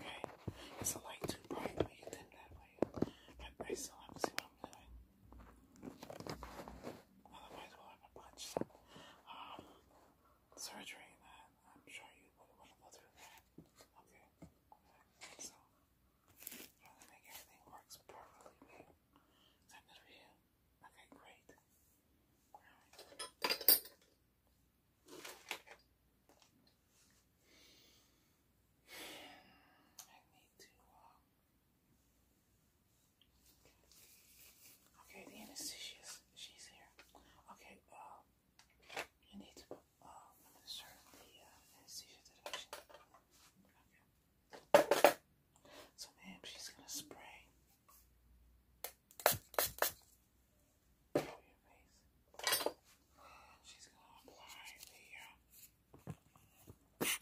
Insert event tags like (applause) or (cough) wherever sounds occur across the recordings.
Okay, it's a light too bright, but you did that way. I still have to see what I'm doing. Otherwise, have a bunch of um, surgery that I'm sure you wouldn't want to go through Okay, so trying to make everything works properly Is that good for you? Okay, great. I need to. Okay, the anesthesia's she's here. Okay, uh, you need to uh, administer the uh, anesthesia deduction. Okay. So, ma'am, she's gonna spray to your face. And she's going to apply the uh,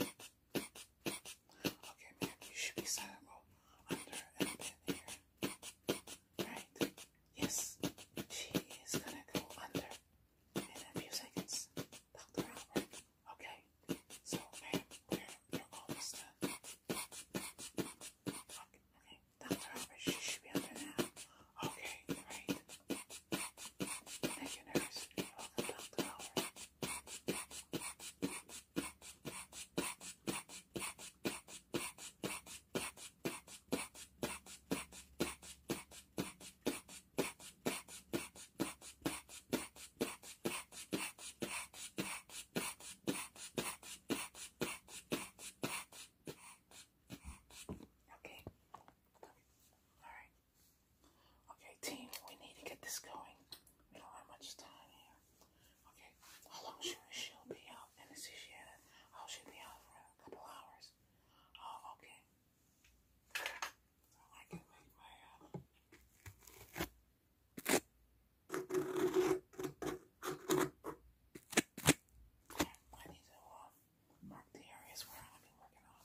Okay, man, you should be silent. Well, under a bit here. Right. Yes. She is gonna go under in a few seconds. Dr. Albert. Okay. So, man, we're, almost done. Okay, Dr. Albert, she should be under now. Okay, right. Thank you, nurse. Dr. Albert. Okay. All right. Okay, team, we need to get this going. We don't have much time here. Okay, how long should she'll be out? And this is Shannon. Oh, she'll be out for a couple hours. Oh, okay. Uh, I need to uh, mark the areas where I'm be working on.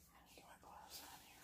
Get my gloves on here.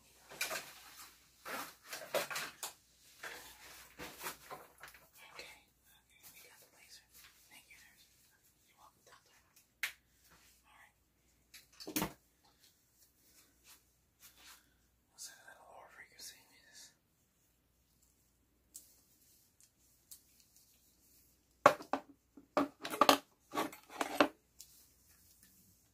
Okay, okay, we got the laser. Thank you, nurse. You're welcome, doctor. Alright. Let's set that a lower frequency. Yes. Okay.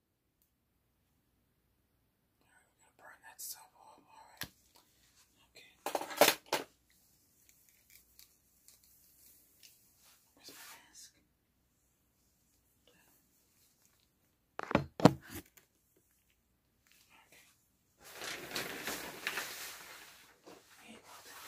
Alright, we're gonna burn that stuff up, alright. Okay. Where's my mask? Okay. Hey, well done.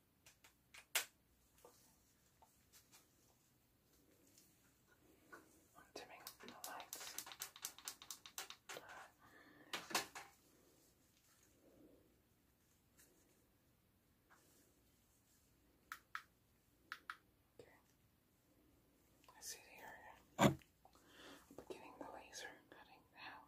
I'm dimming the lights. Okay. I see the area. (coughs) i the laser cutting now.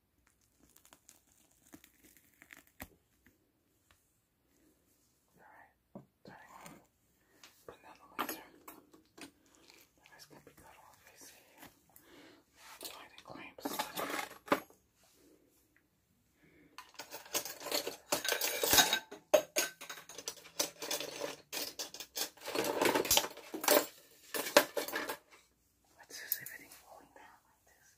Alright, turning on. Putting down the laser. That gonna be cut off, I see. Now it's clamps. Let's just falling down like this.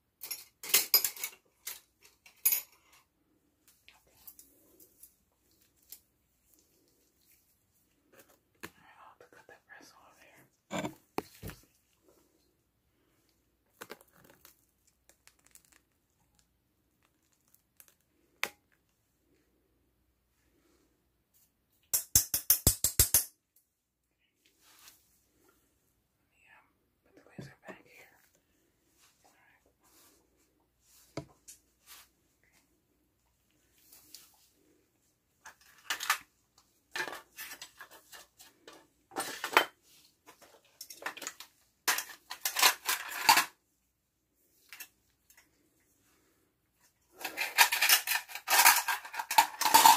Okay. I'll have to cut that press off here. Let me um, put the laser back here. All right. Okay. Okay.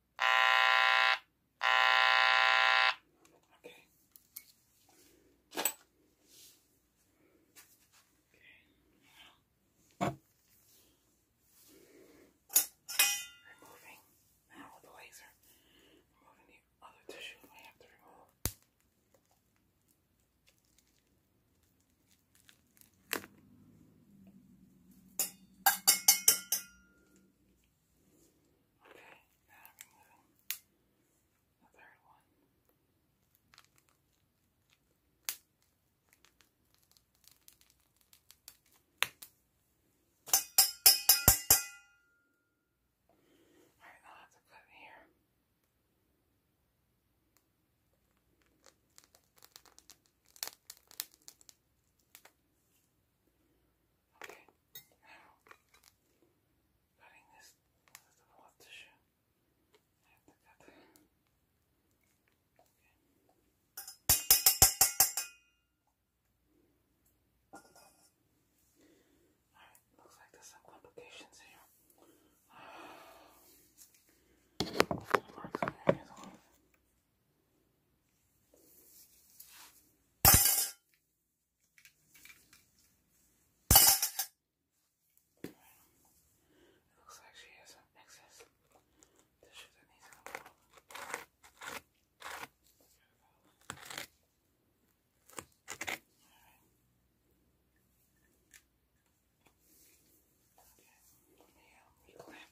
Okay. Okay. Now. Removing now with the laser. Removing the other tissue I have to remove. Okay, now the third one. Alright, now I have to cut here. Okay, now, cutting this I have to cut Okay. looks like there's some complications here. marks on your hands it looks like she has some excess tissue that needs to come out. Alright. Okay, let me um, reclamp.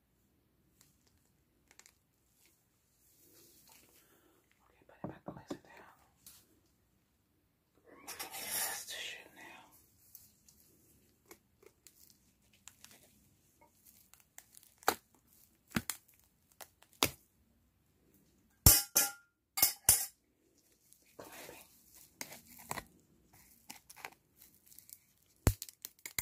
Okay, put it back the laser down. Remove the shit now.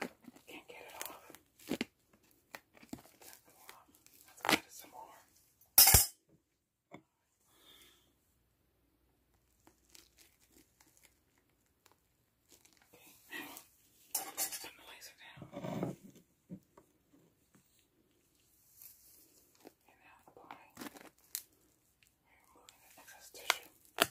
I can't get it off. Let's get it some more. Okay, the laser down. And now apply. removing the excess tissue.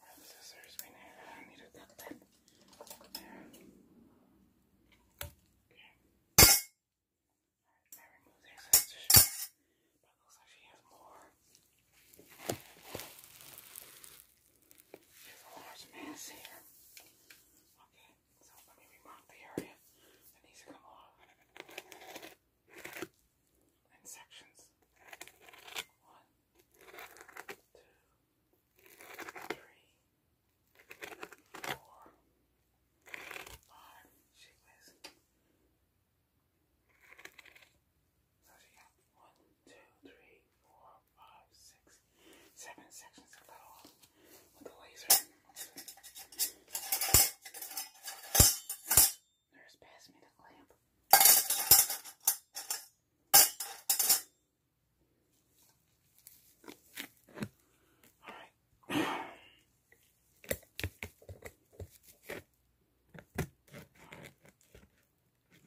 have scissors right there. I need to cut that. Okay. I remove the excess tissue. But it more. There's a large mass here. Okay, so let me remark the area that needs to come off in sections. One, two, three, four, five. She was so she got one, two, three, four, five, six, seven sections to cut off with the laser. Nurse passed me the clamp. All right.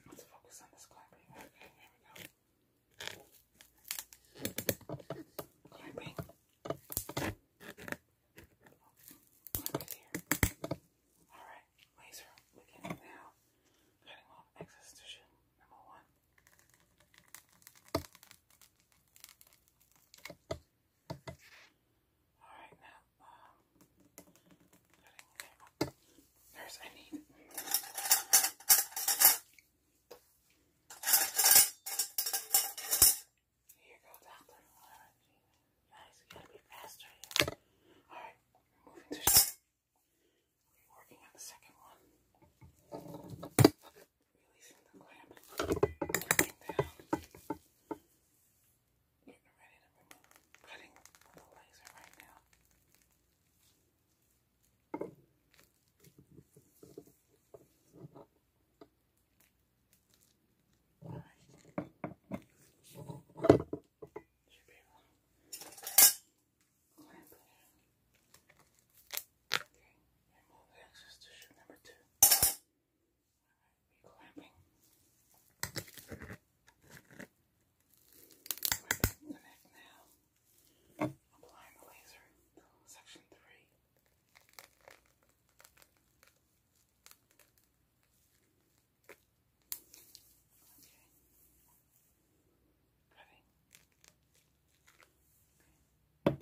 Let's focus on this clamping. Okay, here we go. Clamping. Clamp here. Alright, laser. Looking now. Cutting off excess tissue. Number one. Alright, now there's I need. Here you doctor. Alright, gotta be faster Alright, moving to the second one. Releasing the clamp. Working down. Getting ready to remove cutting with laser right now. Alright. Should be able clamp it Okay, remove the excess tissue number two clamping. Clamping the neck now. Applying the laser. Section three. Okay. Cutting.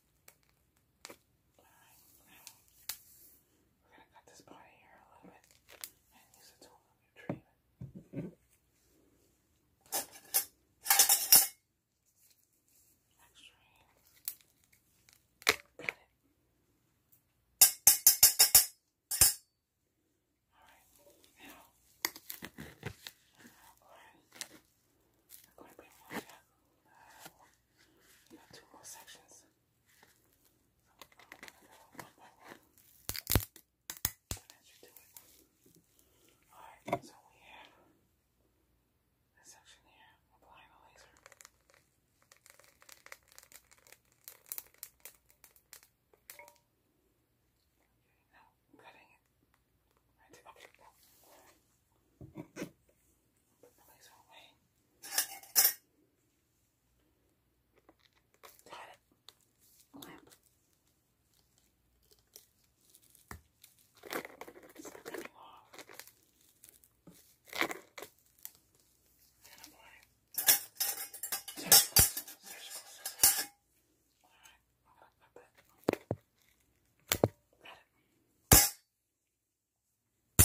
Alright, now we're gonna cut this part here a little bit and use a tool to retrieve it. Extra Cut it. Alright, now I'm going to bring my uh, you two more sections. one by one. And as you do it. Alright, so we have this section here, applying the laser. Okay, now cutting it. Right there. Okay, no. Place away. Got it. Lamp. It's not coming off. And apply. Circles, circles, circles. Alright, I'm gonna put that. Got it. We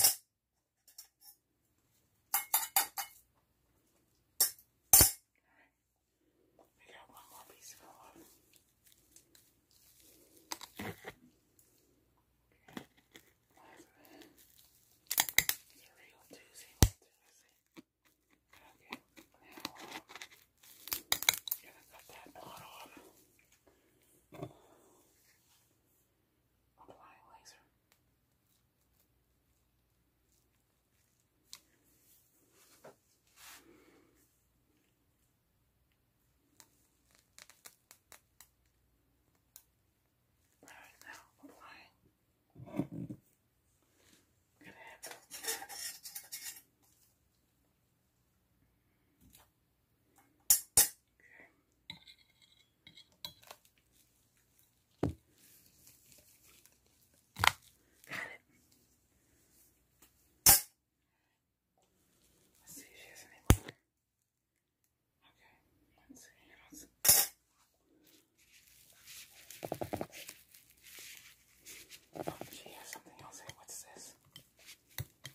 got one more piece of olive. Okay. It's a real doozy, doozy. Okay, now um, I'm gonna cut that pot off. Applying laser. Right now, applying. Good answer. Okay. Got it. Let's see if she has any Okay, let's see. let oh, she has something else. what's this?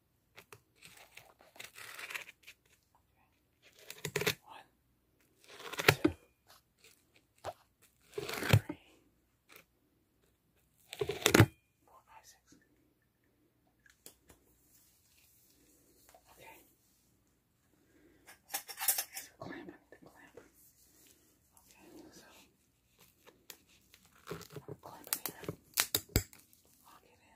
Okay. One, two, three, four, five, six. Okay. There's a Okay, so I'll clamp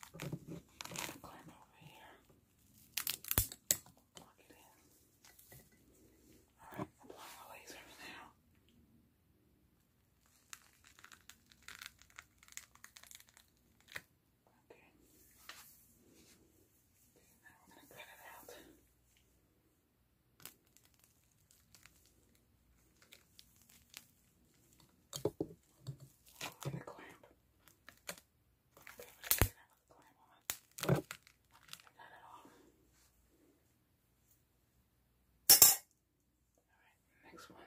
Climb over here. Lock it in. Alright, apply my laser now. Okay. Now we're going to cut it out. And a clamp. Okay, we a clamp on it. Not at Alright, next one.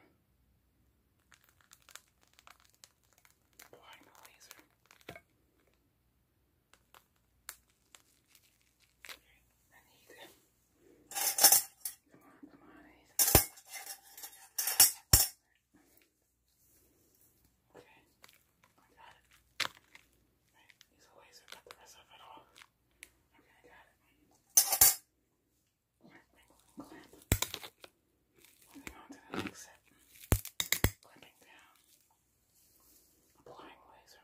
Applying the laser. I need Come on, come on, I Okay, I got it. Right, use a laser, the rest of it off. Okay, I got it. Clamping, clamping on to the next set. Clamping down applying laser.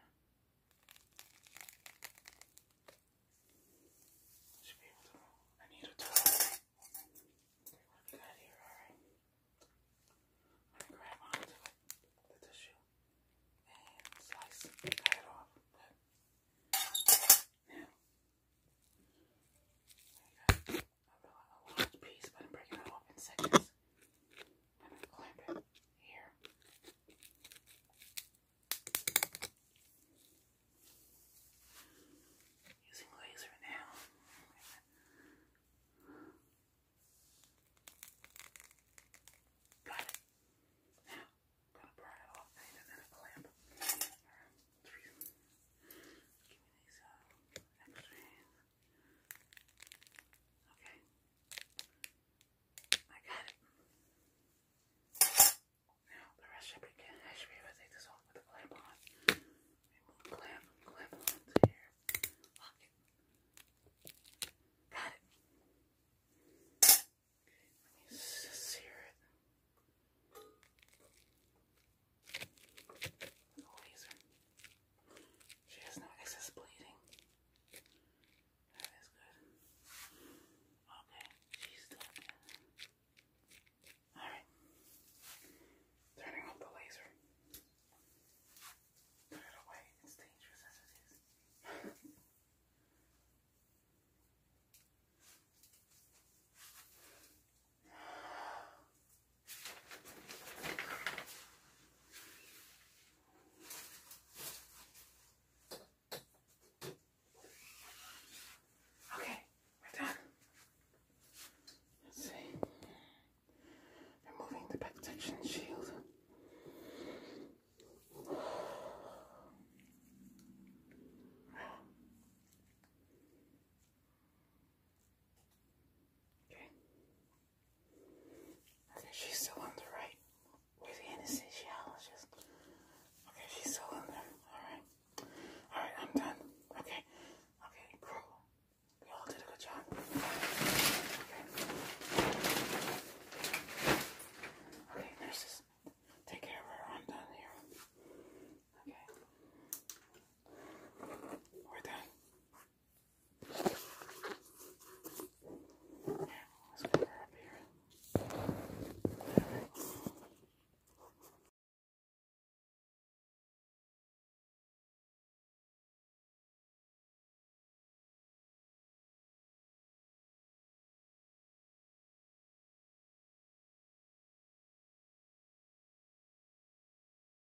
I need a tool. Okay, here? Alright. i grab onto the tissue, and slice and cut off. now, I got a large piece, but I'm breaking it off in seconds and I clamp it here. Using laser now. Got it. Now, I'm gonna burn it off and then a clamp. Alright, give Okay. I got it. Now the rest should be good. I take this off with the clamp on. Remove clamp, clamp onto here. Lock it. Got it. Okay, let me sear it. laser. She has no excess bleeding. That is good. Okay, she's still Alright. Turning off the laser. Put it away. It's dangerous as it is. Okay, we're done. Let's see. Removing the protection shield. Okay. Okay, she's still on the right. Where's the anesthesiologist? Okay, she's still on there. Alright. Alright, I'm done. Okay. Okay, cool. You all did a good job. Okay, nurses. Take care of her. I'm done here. Okay. We're done. Yeah, let's get her up here. All right.